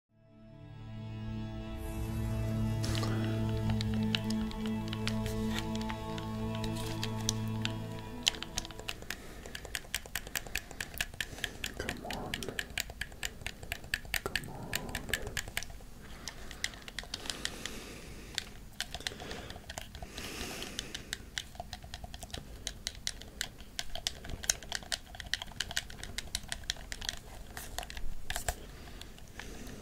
Come on. Come on. Steady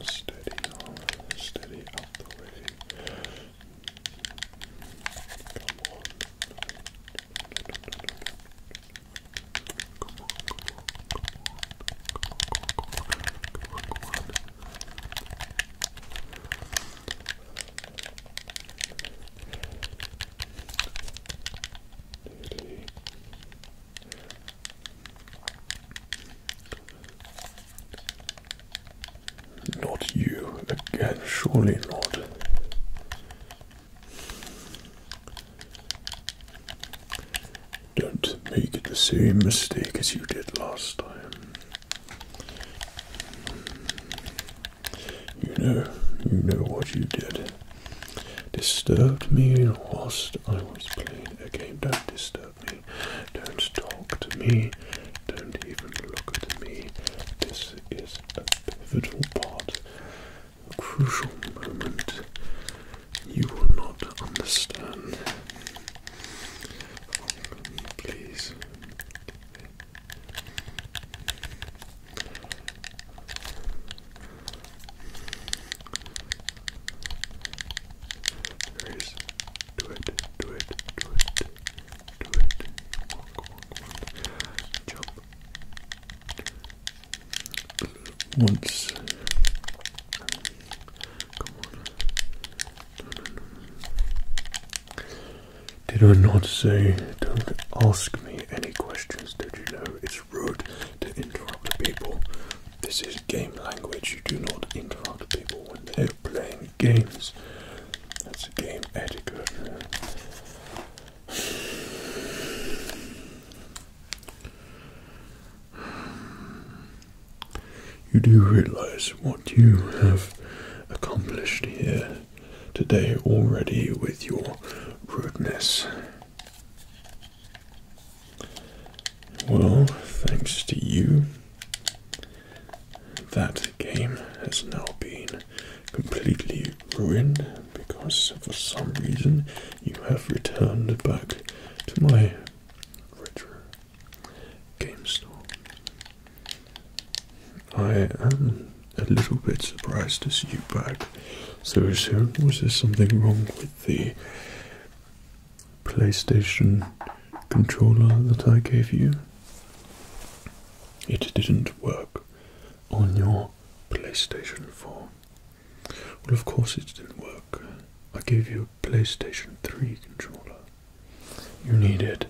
on, steady up the way. Come on. Come on, come on, come on, come on, come on, come on, come on. Nearly. Nearly. Not you again, surely not. Don't make the same mistake as you did last time. You know, you know what you did. Disturbed me whilst I was playing a game. Don't disturb me. Don't talk to me. Don't even look at me. This is a pivotal part, a crucial moment. You will not understand. Please do it, do it, do it, do it. Walk, walk, Once. Come on. Did I not say don't ask me any questions? Did you know it's rude to interrupt people. This is game language. You do not interrupt people when they're playing games. That's a game etiquette. You do realize what you have accomplished here today already with your rudeness. Well, thanks to you, that game has now been completely ruined because for some reason you have returned back to my retro game store. I am a little bit surprised to see you back so soon. Was there something wrong with the PlayStation controller that I gave you, it didn't work on your PlayStation 4. Well, of course, it didn't work. I gave you a PlayStation 3 controller. You needed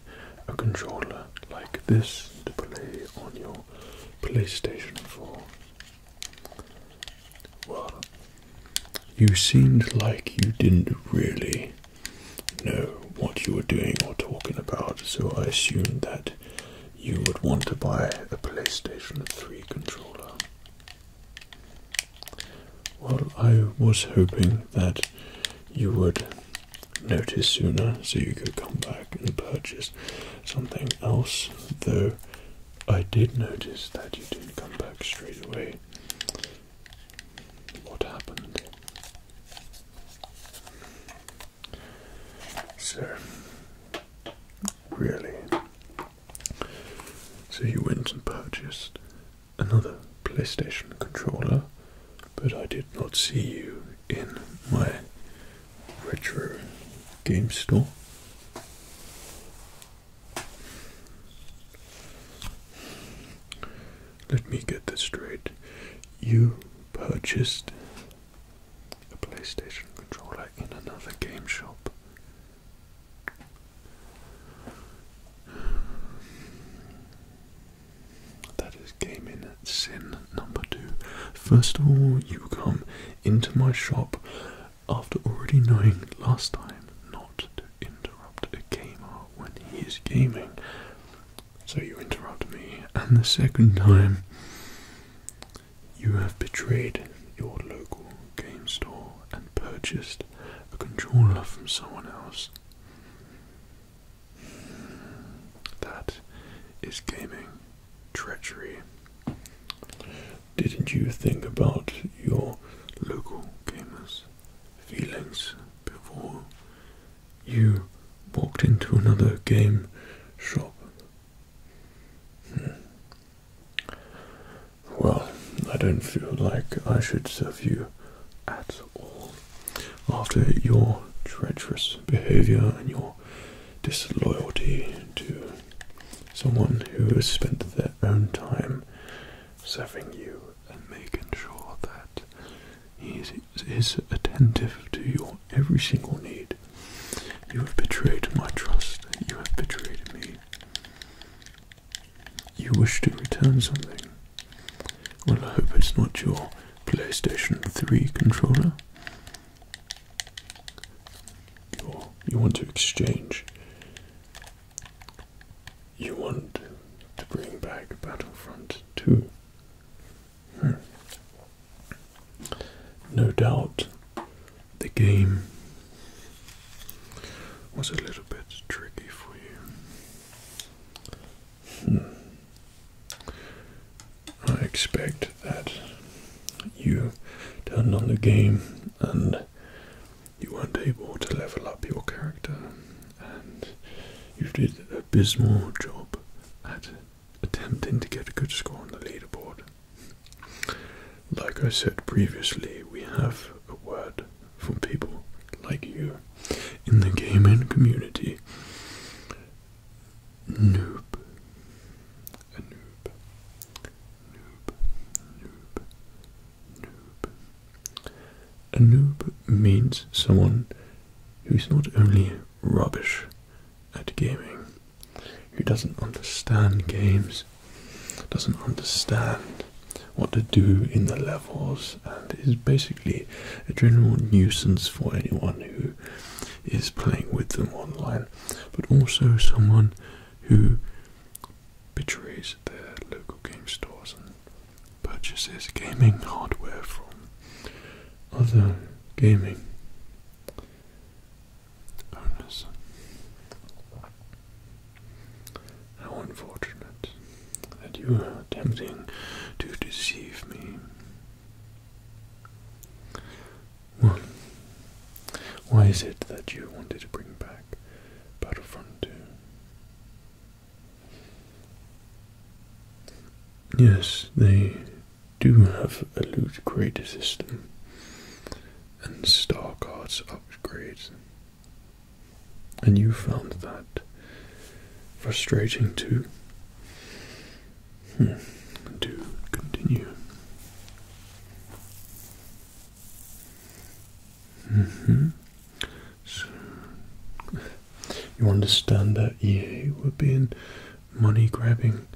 a controller like this to play on your PlayStation 4. Well, you seemed like you didn't really know what you were doing or talking about, so I assumed that you would want to buy a PlayStation 3 controller. Well, I was hoping that you would notice sooner so you could come back and purchase something else, though I did notice that you didn't come back straight away. What happened? So, really? So you went and purchased another PlayStation controller, but I did not see you in my retro game store. Let me get this straight. You purchased a PlayStation controller in another game shop. That is gaming sin number two. First of all, you come into my shop after already knowing last time not to interrupt a gamer when he is gaming. So you interrupt me, and the second time you have betrayed your local game store and purchased a controller from someone else. That is gaming treachery. Didn't you think about your local gamers' feelings before you walked into another game shop? Hmm. Well, I don't feel like I should serve you at all after your treacherous behavior and your disloyalty to Someone who has spent their own time serving you and making sure that he is, attentive to your every single need. You have betrayed my trust. You have betrayed me. You wish to return something. Well, I hope it's not your PlayStation 3 controller you want to exchange. You want to bring back Battlefront 2. Hmm. No doubt the game was a little bit tricky for you. Hmm. I expect that you turned on the game and you weren't able to level up your character, and you did an abysmal job at attempting to get a good score on the leaderboard. Like I said previously, we have a word for people like you in the gaming community. Noob. A noob. A noob means someone who's not only rubbish at gaming, who doesn't understand games, doesn't understand what to do in the levels, and is basically a general nuisance for anyone who is playing with them online, but also someone who betrays their local game stores and purchases gaming hardware from other gaming owners. How unfortunate that you are attempting to deceive me. Why is it that you wanted to bring back Battlefront 2? Yes, they do have a loot crate system and star cards upgrades. And you found that frustrating too? To hmm. continue. Mm-hmm. So you understand that you were being money grabbing,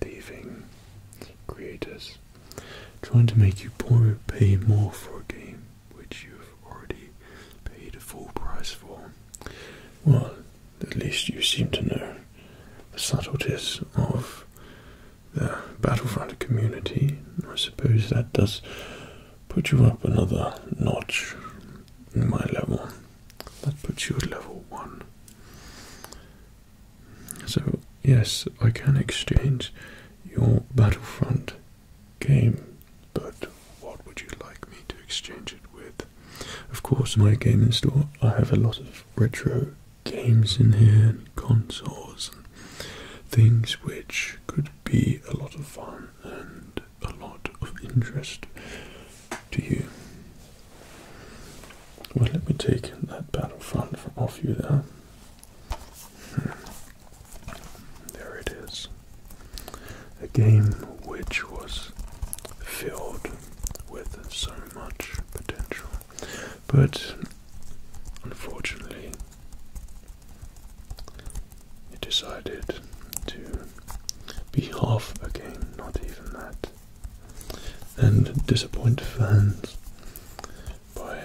thieving creators, trying to make you poor pay more for a game which you've already paid a full price for. Well, at least you seem to know the subtleties of the Battlefront community. I suppose that does put you up another notch in my level. That puts you at level one. So, yes, I can exchange your Battlefront game, but what would you like me to exchange it with? Of course, my gaming store, I have a lot of retro games in here, consoles, things which could be a lot of fun and a lot of interest to you. Well, let me take that battlefront off you there. Hmm. There it is. A game which was filled with so much potential but unfortunately, he decided to be half again not even that, and disappoint fans by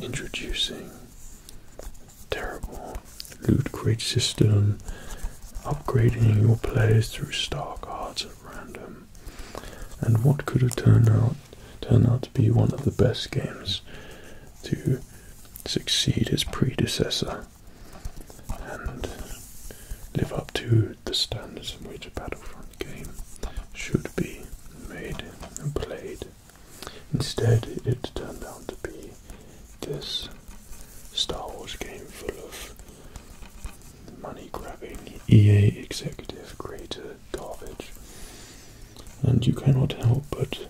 introducing a terrible loot crate system, upgrading your players through star cards at random, and what could have turned out Turned out to be one of the best games to succeed its predecessor and live up to the standards in which a Battlefront game should be made and played. Instead, it turned out to be this Star Wars game full of money grabbing EA executive creators garbage. And you cannot help but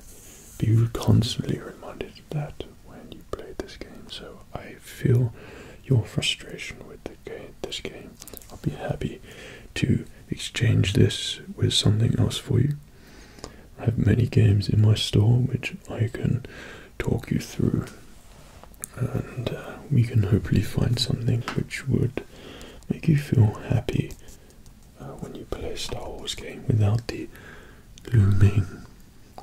be constantly reminded that when you play this game. So I feel your frustration with the game, this game. I'll be happy to exchange this with something else for you. I have many games in my store which I can talk you through, and uh, we can hopefully find something which would make you feel happy uh, when you play Star Wars game without the looming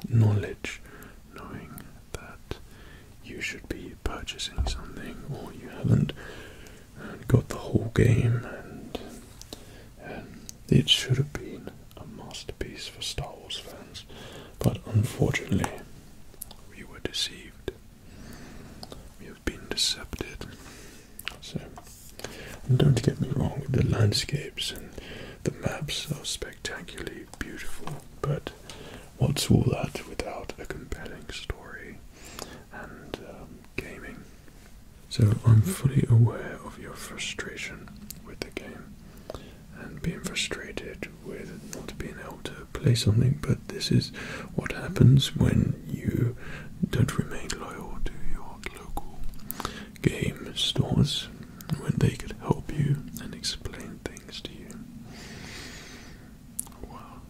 knowledge, knowing that you should be purchasing something or you haven't got the whole game and it should have been a masterpiece for Star Wars fans but unfortunately we were deceived you have been deceived. So, don't get me wrong, the landscapes and the maps are spectacularly beautiful, but what's all that without a compelling story and um, gaming? So, I'm fully aware of your frustration with the game and being frustrated with not being able to play something, but this is what happens when you don't remain loyal to your local game stores when they could help you and explain things to you. Wow.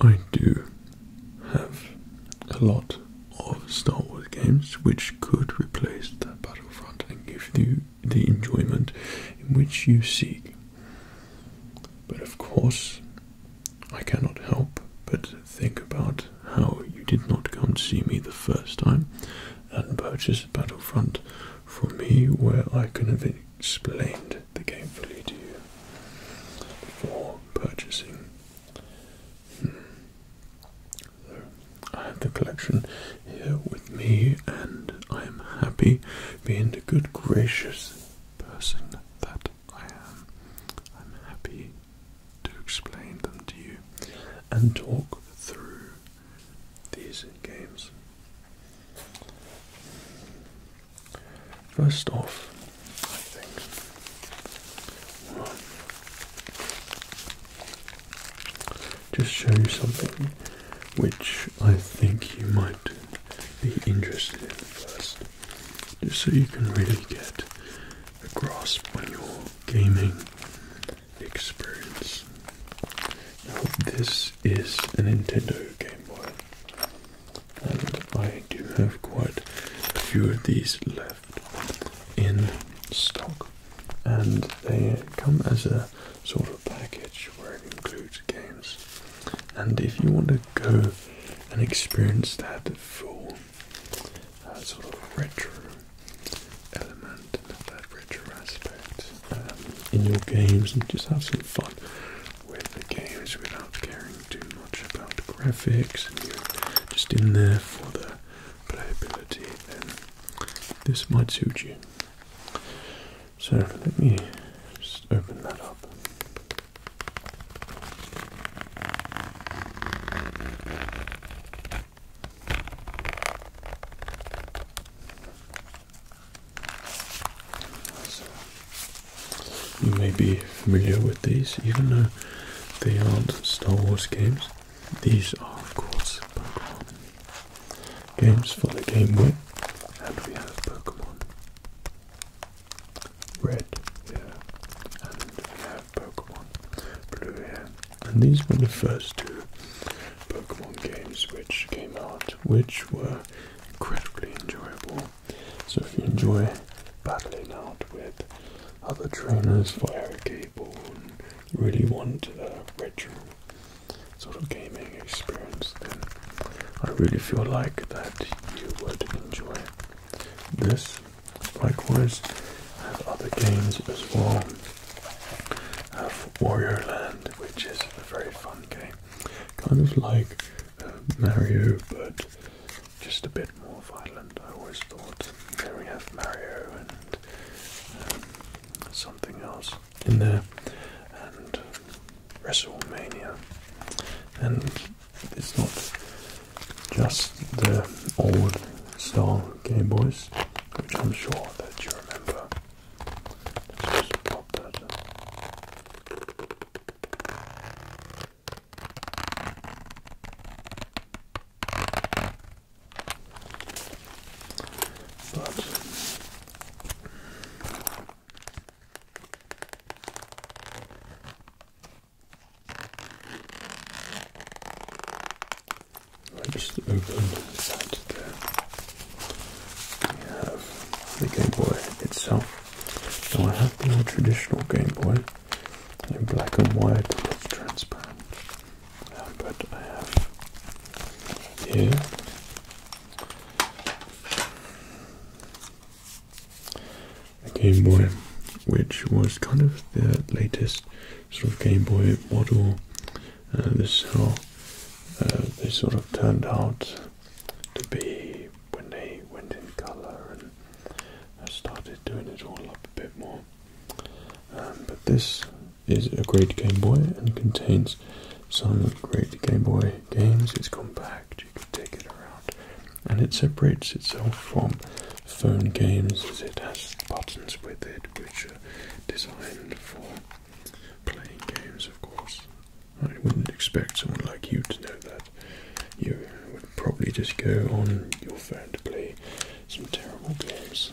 I do have a lot of Star Wars games which could replace that Battlefront and give you the enjoyment in which you seek. But of course, I cannot help but think about how you did not come to see me the first time and purchase Battlefront from me, where I could have explained the game fully to you before purchasing. Hmm. I have the collection here with me, and I am happy, being the good gracious person that I am. I'm happy to explain them to you and talk through these games. First off, I think just show you something which I think you might be interested in first, just so you can really get a grasp on your gaming experience. Now, this is a Nintendo Game Boy, and I do have quite a few of these left in stock, and they come as a sort of package where it includes games. And if you want to go and experience that full uh, sort of retro element that retro aspect um, in your games and just have some fun with the games without caring too much about graphics and just in there for the playability, then this might suit you. So let me just open that up. you may be familiar with these, even though they aren't Star Wars games. These are, of course, Pokemon games for the Game Boy, and we have Pokemon Red here, and we have Pokemon Blue here. And these were the first two Pokemon games which came out, which were incredibly enjoyable. So if you enjoy battling out with other trainers, fire a cable, you really want uh, retro sort of gaming experience, then I really feel like that you would enjoy this. Likewise, I have other games as well. have Warrior Land, which is a very fun game, kind of like um, Mario, but just a bit more violent. I always thought. Then we have Mario and um, something else in there, and WrestleMania. And it's not just the old style Game Boys, which I'm sure that you remember. Let's just pop that. But let Just open the side there. We have the Game Boy itself. Now I have the more traditional Game Boy in black and white it's transparent. but I have here Game Boy, which was kind of the latest sort of Game Boy model. Uh, this is how uh, they sort of turned out to be when they went in color and uh, started doing it all up a bit more. Um, but this is a great Game Boy and contains some great Game Boy games. It's compact. You can take it around, and it separates itself from phone games as it has buttons with it, which are designed for playing games, of course. I wouldn't expect someone like you to know that. You would probably just go on your phone to play some terrible games.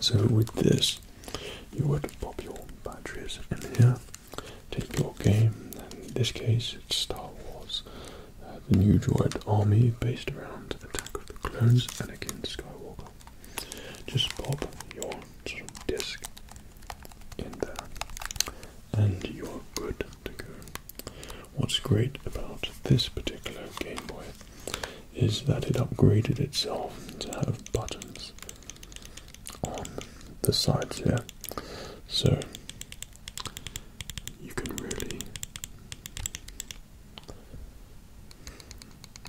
So with this, you would pop your batteries in here take your game. And in this case, it's Star Wars, uh, the new droid army based around Attack of the Clones, Anakin Skywalker. Just pop your disc in there, and you're good to go. What's great about this particular Game Boy is that it upgraded itself to have buttons on the sides here, so you can really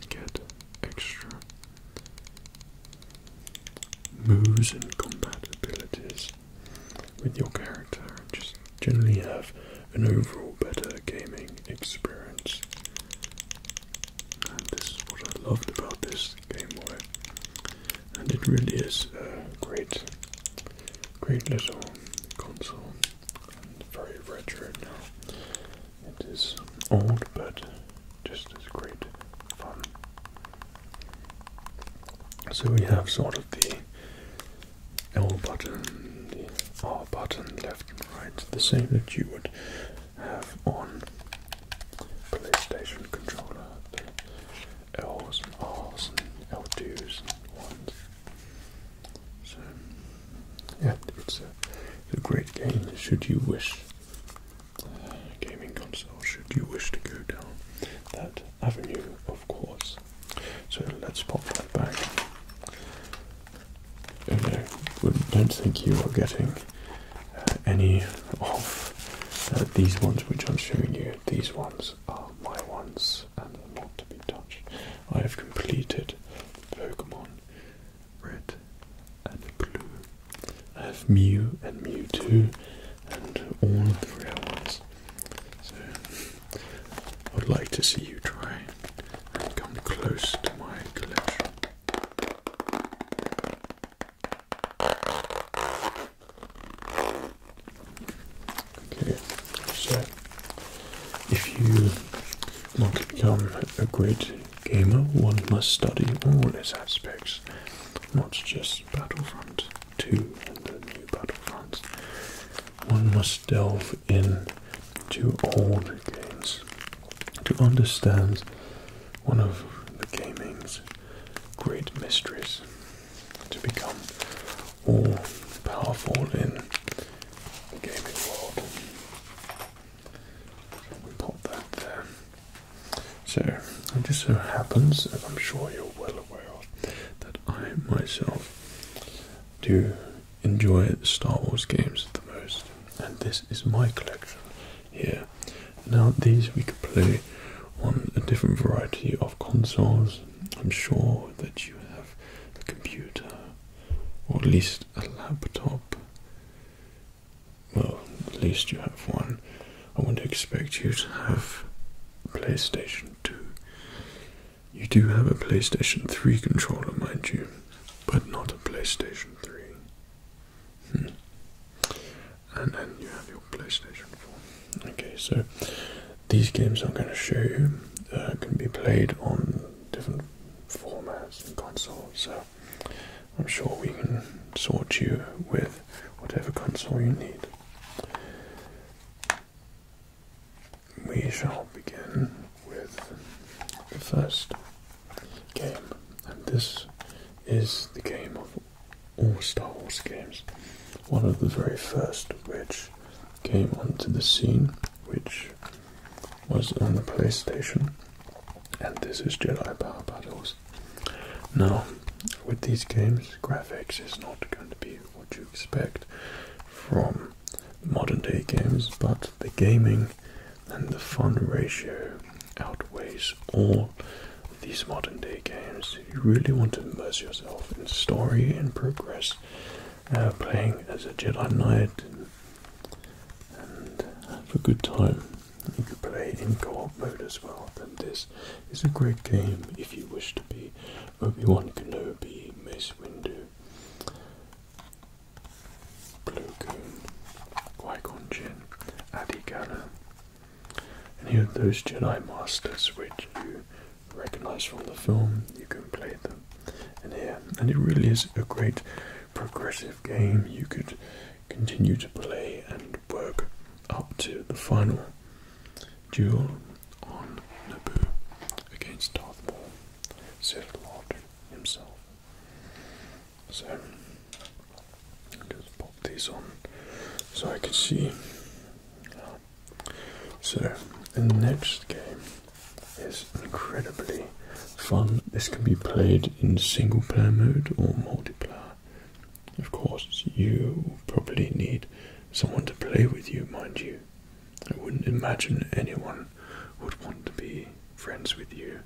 get extra moves and combat abilities with your character and just generally have an overall better gaming experience. And this is what I loved about this the and it really is a great, great little console, very retro It is old, but just as great fun. So we have sort of the L button, the R button, left and right, the same that you would have on PlayStation controller, the L's and R's and L2s ones. So, yeah, it's a, great game. Should you wish uh, gaming console, should you wish to go down that avenue, of course. So let's pop that back. Oh don't think you are getting uh, any of uh, these ones which I'm showing you. These ones are my ones and are not to be touched. I have completed Pokemon Red and Blue. I have Mew and Mewtwo and all of the rare ones. So I would like to see you try and come close to my collection. Okay, so if you want to become a great gamer, one must study all its aspects, not just Battlefront 2 and the new Battlefront. One must delve into all the games to understand one of the gaming's great mysteries to become all powerful in the gaming world. So we pop that there. So it just so happens, as I'm sure you're well aware of, that I myself do enjoy Star Wars games the most, and this is my collection here. Now these we could play on a different variety of consoles. I'm sure that you have a computer or at least a laptop. Well, at least you have one. I wouldn't expect you to have PlayStation 2. You do have a PlayStation 3 controller, mind you, but not a PlayStation 3. Hmm and then you have your PlayStation 4. Okay, so these games I'm going to show you uh, can be played on different formats and consoles, so I'm sure we can sort you with whatever console you need. We shall begin with the first game, and this is the game of all Star Wars games. One of the very first which came onto the scene, which was on the PlayStation, and this is Jedi Power Battles. Now, with these games, graphics is not going to be what you expect from modern day games, but the gaming and the fun ratio outweighs all these modern day games. You really want to immerse yourself in story and progress, uh, playing as a Jedi Knight and, have a good time. You can play in co-op mode as well. And this is a great game if you wish to be Obi-Wan Kenobi, Mace Windu, Blue Goon, Qui-Gon Jinn, Adi Gala, any of those Jedi Masters which you recognize from the film, you can play them in here. And it really is a great progressive game. You could continue to play and work up to the final duel on Naboo against Darth Maul, Sith Lord himself. So just pop these on so I can see. So, the next game is incredibly fun. This can be played in single player mode or multiplayer. Of course, you probably need someone to play with you, mind you. I wouldn't imagine anyone would want to be friends with you,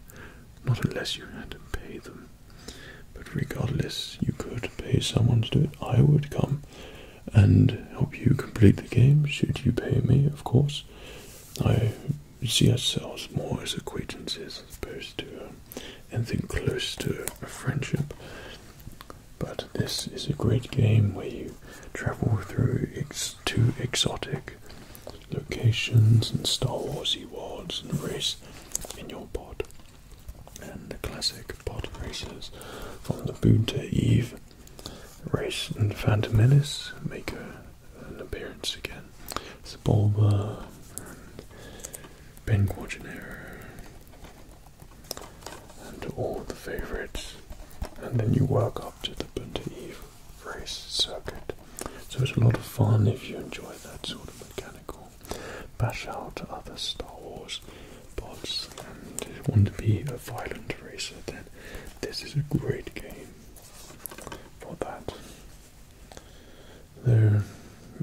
not unless you had to pay them. But regardless, you could pay someone to do it. I would come and help you complete the game, should you pay me, of course. I see ourselves more as acquaintances as opposed to um, anything close to a friendship. But this is a great game where you travel through two exotic locations and Star Warsy worlds and race in your pod and the classic pod races from the Boon Eve race and Phantom Menace make a, an appearance again. Sebulba and Ben Quaternaire and all the favourites. And then you work up to the Boon Eve race circuit. So it's a lot of fun if you enjoy that sort of mechanical bash out other Star Wars bots and want to be a violent racer, then this is a great game for that. Though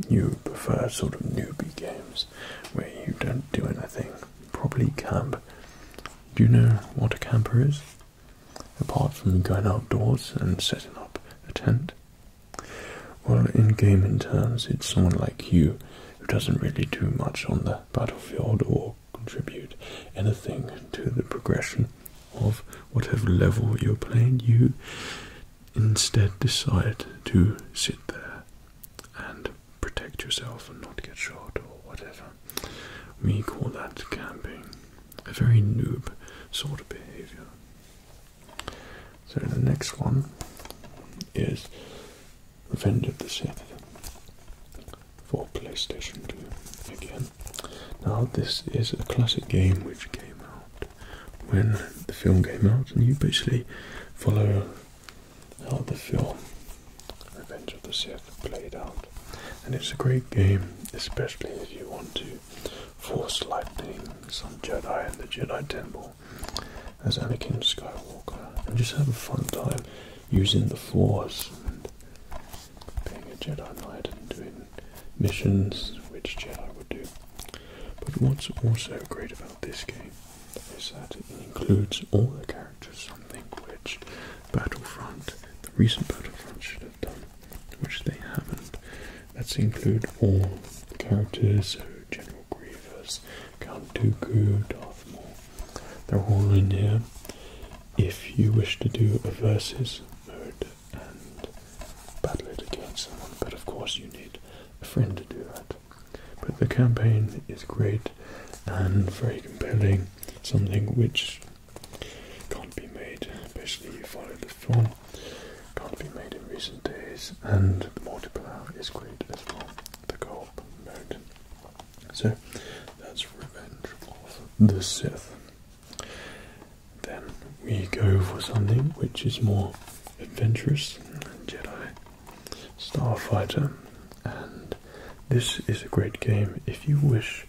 you prefer sort of newbie games where you don't do anything, probably camp. Do you know what a camper is? Apart from going outdoors and setting up a tent, well, in game terms, it's someone like you who doesn't really do much on the battlefield or contribute anything to the progression of whatever level you're playing. You instead decide to sit there and protect yourself and not get shot or whatever. We call that camping. A very noob sort of behavior. So the next one is Revenge of the Sith for PlayStation 2 again. Now this is a classic game which came out when the film came out and you basically follow how the film Revenge of the Sith played out. And it's a great game, especially if you want to force lightning some Jedi in the Jedi Temple as Anakin Skywalker and just have a fun time using the Force and being a Jedi Knight and doing missions which Jedi would do. But what's also great about this game is that it includes all the characters, something which Battlefront, the recent Battlefront should have done, which they haven't. Let's include all characters, General Grievous, Count Dooku, Darth Maul. They're all in there. If you wish to do a versus mode and battle it against someone, but of course you need a friend to do that. But the campaign is great and very compelling, something which can't be made. especially if you follow the film can't be made in recent days, and the multiplier is great as well. The co-op So that's Revenge of the Sith. Then we go for something which is more adventurous, Jedi Starfighter, and this is a great game if you wish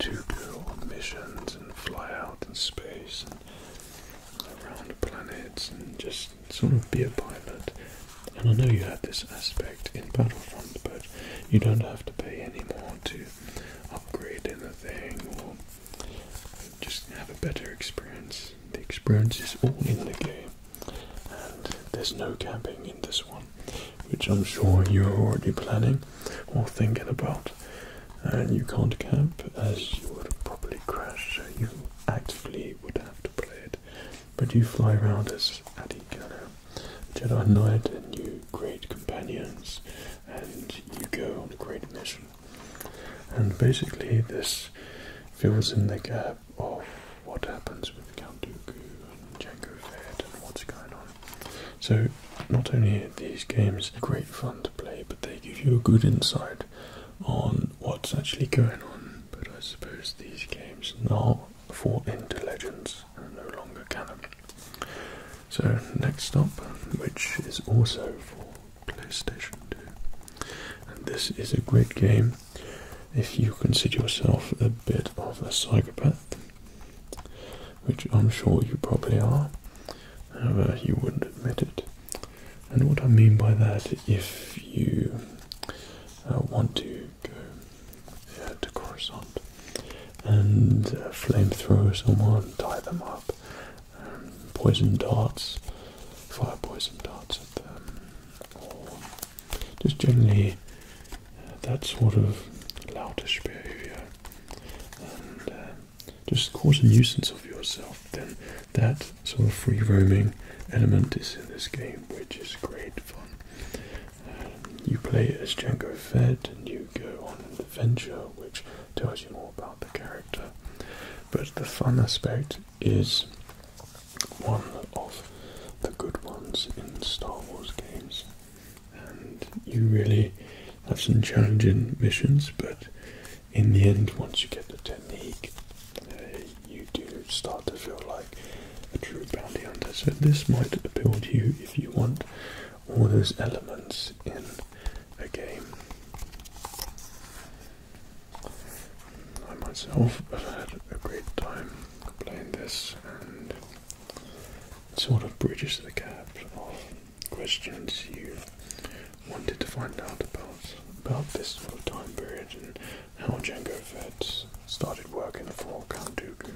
to go on missions and fly out in space around planets and just sort of be a pilot. And I know you had this aspect in Battlefront, but you don't have to pay any more to upgrade anything or just have a better experience. The experience is all in the game, and there's no camping in this one, which I'm sure you're already planning or thinking about. And you can't camp as you would probably crash, you actively would have to play it, but you fly around as Adikana, Jedi mm Knight, and you great companions, and you go on a great mission. And basically, this fills in the gap of what happens with the Count Dooku and Jango Fett and what's going on. So, not only are these games great fun to play, but they give you a good insight on what's actually going on, but I suppose these games are for into legends and no longer canon. So next stop, which is also for PlayStation 2, and this is a great game if you consider yourself a bit of a psychopath, which I'm sure you probably are, however you wouldn't admit it. And what I mean by that, if you uh, want to go uh, to Coruscant and uh, flamethrower someone, tie them up, um, poison darts, fire poison darts at them, or just generally uh, that sort of loutish behaviour, just cause a nuisance of yourself. Then That sort of free roaming element is in this game, which is great fun. Um, you play as Jango Fed and you go on an adventure which tells you more about the character. But the fun aspect is one of the good ones in Star Wars games. And you really have some challenging missions, but in the end, once you get the technique, eh, you do start to feel like a true bounty hunter. So this might appeal to you if you want all those elements in a game. I myself have had a great time playing this and sort of bridges the gap of questions here wanted to find out about about this sort time period and how Jango Fett started working for Count Dooku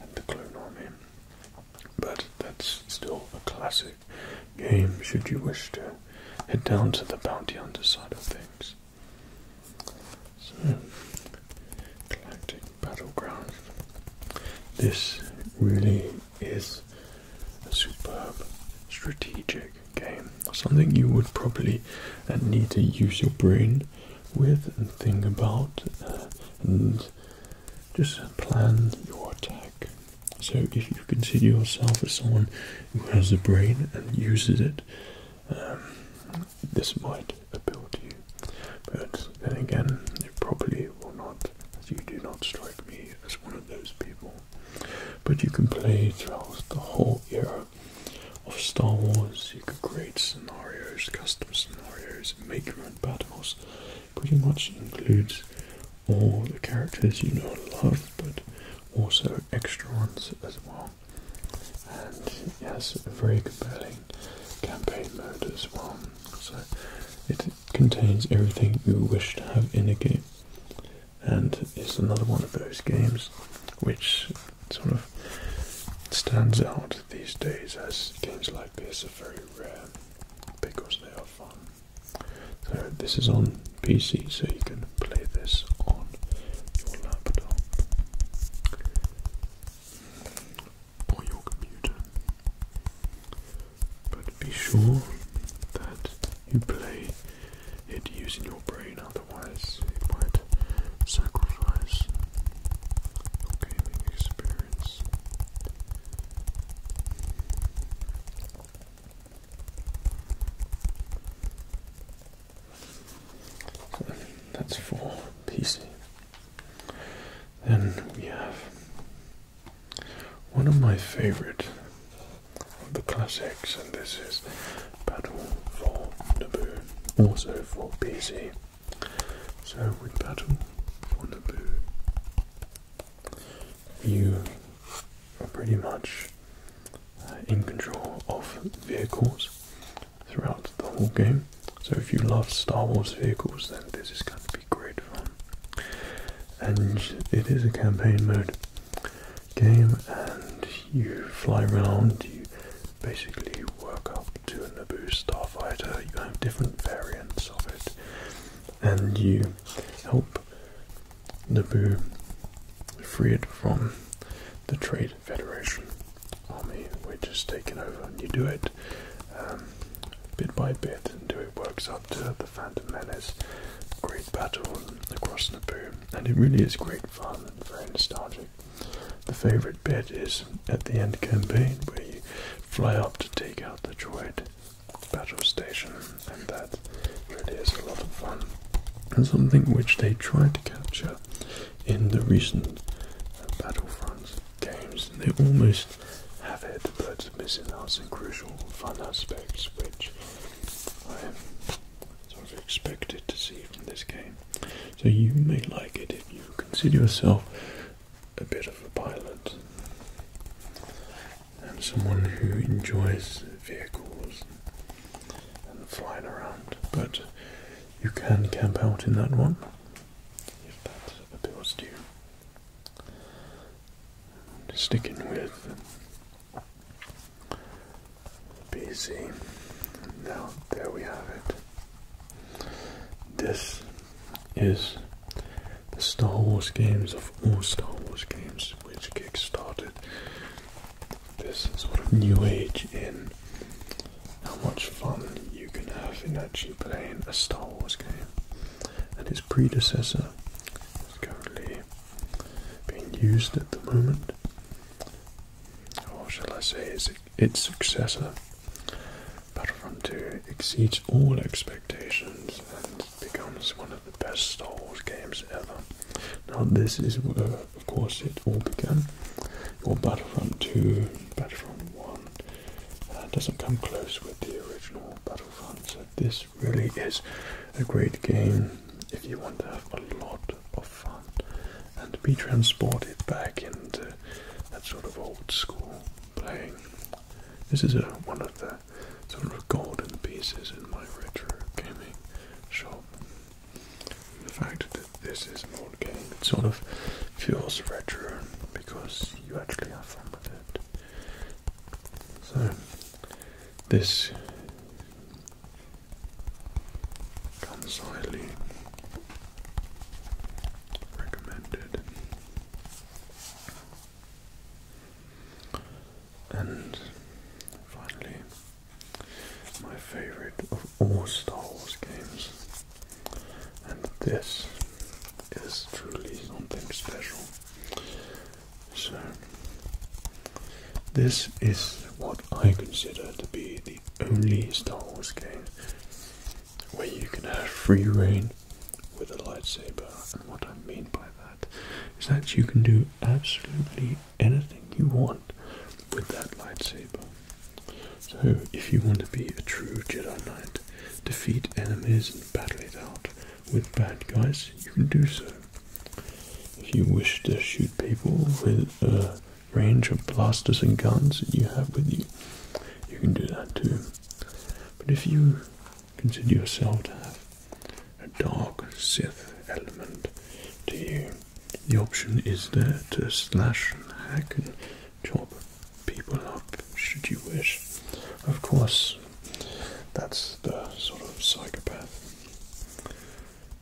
and the Clone Army. But that's still a classic game, should you wish to head down to the bounty hunter side of things. So, Galactic Battleground. This really is a superb strategic game, something you would probably uh, need to use your brain with and think about uh, and just plan your attack. So, if you consider yourself as someone who has a brain and uses it, um, this might appeal to you. But then again, it probably will not, as you do not strike me as one of those people. But you can play throughout the whole era of Star Wars. You can create scenarios, custom scenarios, make your own battles. Pretty much includes all the characters you know and love, but also extra ones as well. And it has a very compelling campaign mode as well. So it contains everything you wish to have in a game and is another one of those games which sort of stands out these days as games like this are very rare because they are fun. So this is on PC, so you can play this on your laptop or your computer be sure that you play it using your brain, otherwise it might sacrifice your gaming experience. So that's for PC. Then we have one of my favorite the classics, and this is Battle for Naboo, also for PC. So with Battle for Naboo, you are pretty much uh, in control of vehicles throughout the whole game. So if you love Star Wars vehicles, then this is going to be great fun. And it is a campaign mode, game and you fly around, you basically work up to a Naboo starfighter, you have different variants of it, and you help Naboo free it from the Trade Federation army, which has taken over, and you do it um, bit by bit until it works up to the Phantom Menace, great battle across Naboo, and it really is great fun and very nostalgic. The favourite bit is at the end campaign where you fly up to take out the droid battle station, and that really is a lot of fun. And something which they tried to capture in the recent Battlefront games, and they almost have it, but missing out some crucial fun aspects which I sort of expected to see from this game. So you may like it if you consider yourself a bit of a pilot and someone who enjoys vehicles and flying around. But you can camp out in that one if that appeals to you. Sticking with BC. Now, there we have it. This is the Star Wars games of all Star Wars games which kickstarted this sort of new age in how much fun you can have in actually playing a Star Wars game. And its predecessor is currently being used at the moment, or shall I say, its, successor, Battlefront 2 exceeds all expectations and becomes one of the best Star Wars games ever. Now, this is where, of course, it all began. Your Battlefront 2, Battlefront 1 uh, doesn't come close with the original Battlefront, this really is a great game if you want to have a lot of fun and be transported back into that sort of old school playing. This is a, one of the sort of golden pieces in my retro gaming shop. The fact that this is an old game, it sort of feels retro because you actually are from with it. So, this Comes highly recommended. And finally, my favorite of all Star Wars games, and this is truly something special. So, this is what I consider to be the only Star Wars game where you can have free reign with a lightsaber. And what I mean by that is that you can do absolutely anything you want with that lightsaber. So, if you want to be a true Jedi Knight, defeat enemies and battle it out with bad guys, you can do so if you wish to shoot people with a range of blasters and guns that you have with you, you can do that too. But if you consider yourself to have a dark Sith element to you, the option is there to slash and hack and chop people up should you wish. Of course, that's the sort of psychopath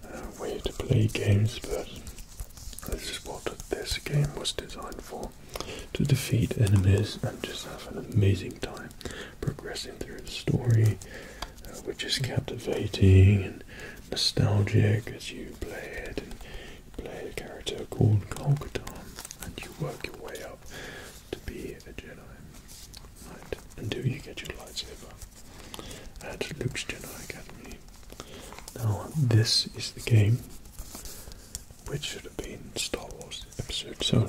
uh, way to play games, but this is what this game was designed for to defeat enemies and just have an amazing time progressing through the story, uh, which is captivating and nostalgic as you play it. And play a character called Kol and you work your way up to be a Jedi Knight until you get your lightsaber at Luke's Jedi Academy. Now, this is the game which should have been Star Wars Episode 7.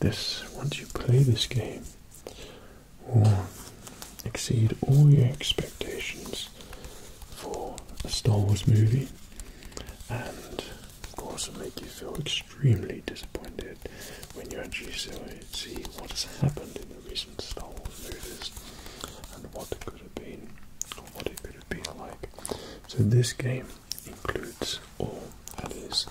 This, once you play this game, will exceed all your expectations for a Star Wars movie and, of course, will make you feel extremely extremely disappointed when you actually see what has happened in the recent Star Wars movies and what could have been, what it could have been like. So this game includes all that is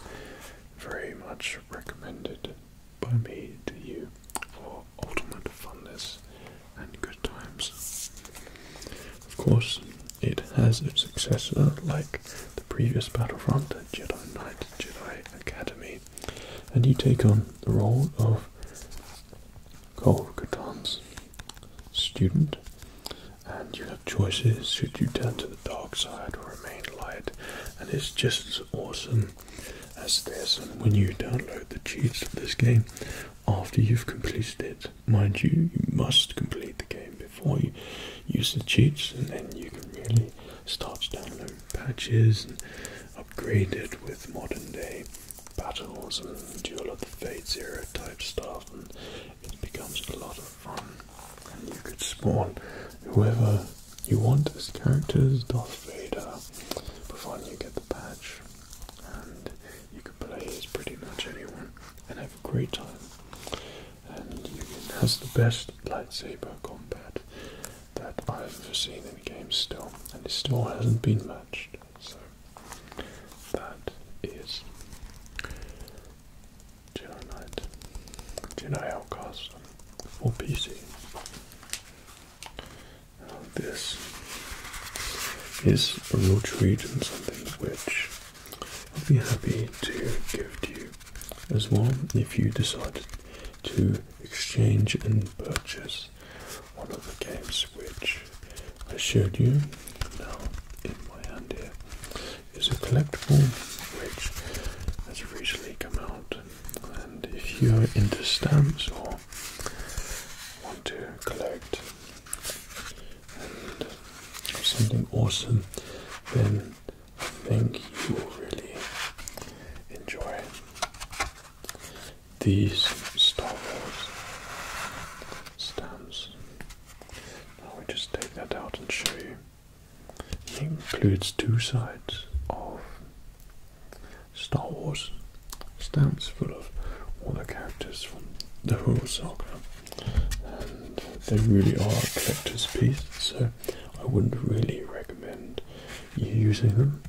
very much recommended by me to you for ultimate funness and good times. Of course, it has a successor like the previous Battlefront Jedi Knight Jedi Academy, and you take on the role of Kol Katan's student, and you have choices should you turn to the dark side or remain light, and it's just awesome as this. And when you download the cheats of this game after you've completed it, mind you, you must complete the game before you use the cheats, and then you can really start to download patches and upgrade it with modern day battles and do a lot of Fate Zero type stuff and it becomes a lot of fun. And you could spawn whoever you want as characters, Darth Vader, but finally you get the patch and you can play as pretty much anyone and have a great time and Ugin has the best lightsaber combat that I've ever seen in a game still, and it still hasn't been matched. So that is Jedi Knight, Jedi Outcast for PC. this is a real treat and something which I'll be happy to give to you as well if you decide to exchange and purchase one of the games which I showed you. Now, in my hand here is a collectible which has recently come out, and if you're into stamps or want to collect something awesome, then I think you will really enjoy these Star Wars stamps. Now we just take that out and show you. It includes two sides of Star Wars stamps full of all the characters from the whole saga, and they really are a collector's piece. So I wouldn't really recommend you using them.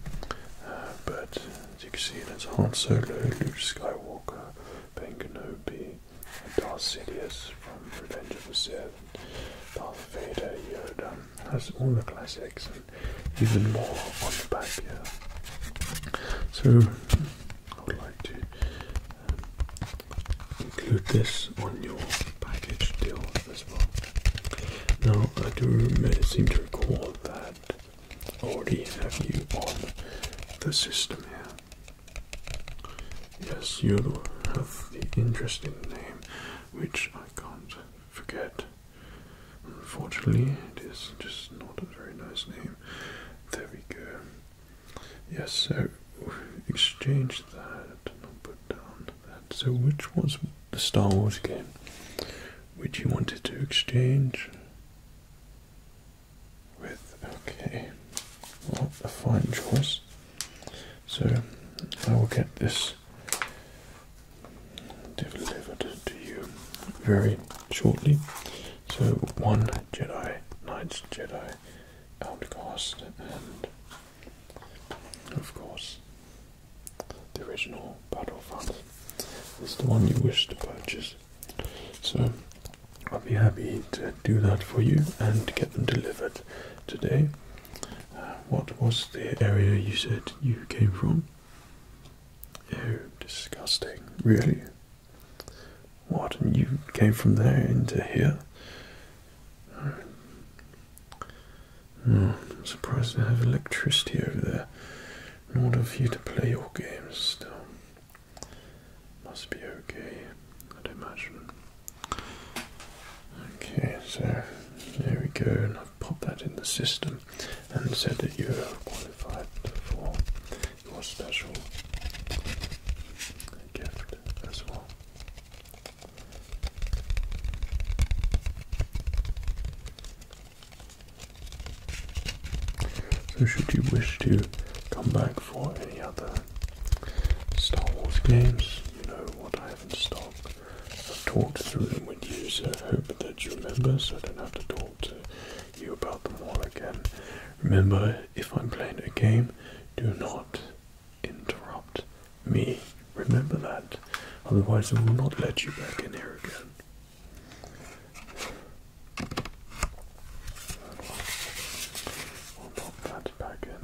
Uh, but as you can see, there's Han Solo, Luke Skywalker, Ben Kenobi, Darth Sidious from Revenge of the Sith, Darth Vader, Yoda. That's all the classics and even more on the back here. So I would like to um, include this on your package deal as well. Now, I do seem to recall that already have you on the system Yes, you have the interesting name, which I can't forget. Unfortunately, it is just not a very nice name. There we go. Yes, so exchange that and down so which was the Star Wars again? which you wanted to exchange with? Okay, what a fine choice. So I will get this delivered to you very shortly. So one Jedi, Knights Jedi, Outcast, and of course, the original Battlefront is the one you wish to purchase. So I'll be happy to do that for you and get them delivered today. Uh, what was the area you said you came from? Oh, disgusting. Really? What? you came from there into here? I'm hmm, surprised they have electricity over there in order for you to play your games still. Must be okay, i imagine. Okay, so there we go, I've popped that in the system and said that you're qualified for your special gift as well. So, should you wish to come back for any other Star Wars games, you know what I have in stock. I've talked through them with you, so I hope that you remember, so I don't have to talk to you about them all again. Remember, if I'm playing a game, do not interrupt me. Remember that. Otherwise, I will not let you back in here again. We'll pop that back in.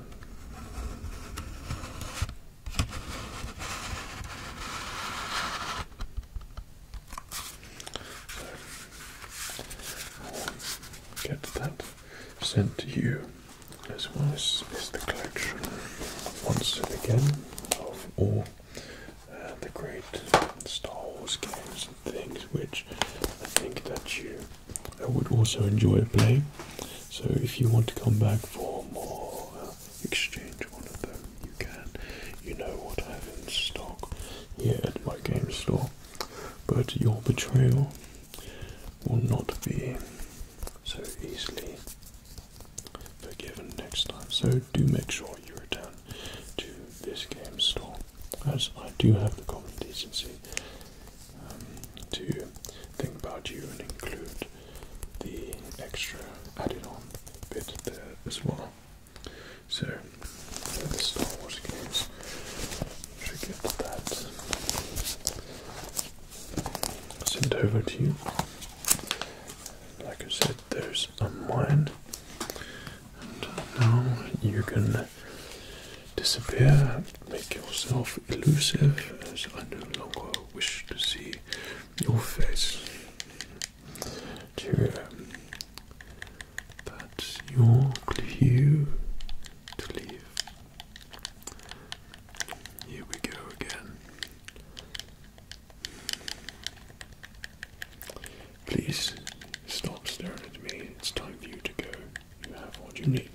get that sent to you as well. This is the collection once again of all uh, the great Star Wars games and things which I think that you uh, would also enjoy playing. So if you want to come back for more uh, exchange one of them, you can. You know what I have in stock here at my game store. But your betrayal will not be so easily forgiven next time. So do make sure you return to this game store, as I do have the common decency um, to think about you and include the extra added-on bit there as well. So the Star Wars games should get that sent over to you. Like I said, there's a mine, now you can disappear, make yourself elusive, as I no longer wish to see your face. Cheerio. Um, That's your cue to leave here we go again. Please stop staring at me. It's time for you to go. You have what you need.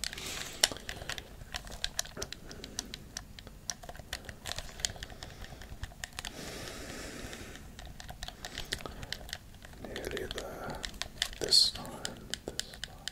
Nearly there. This time. This time.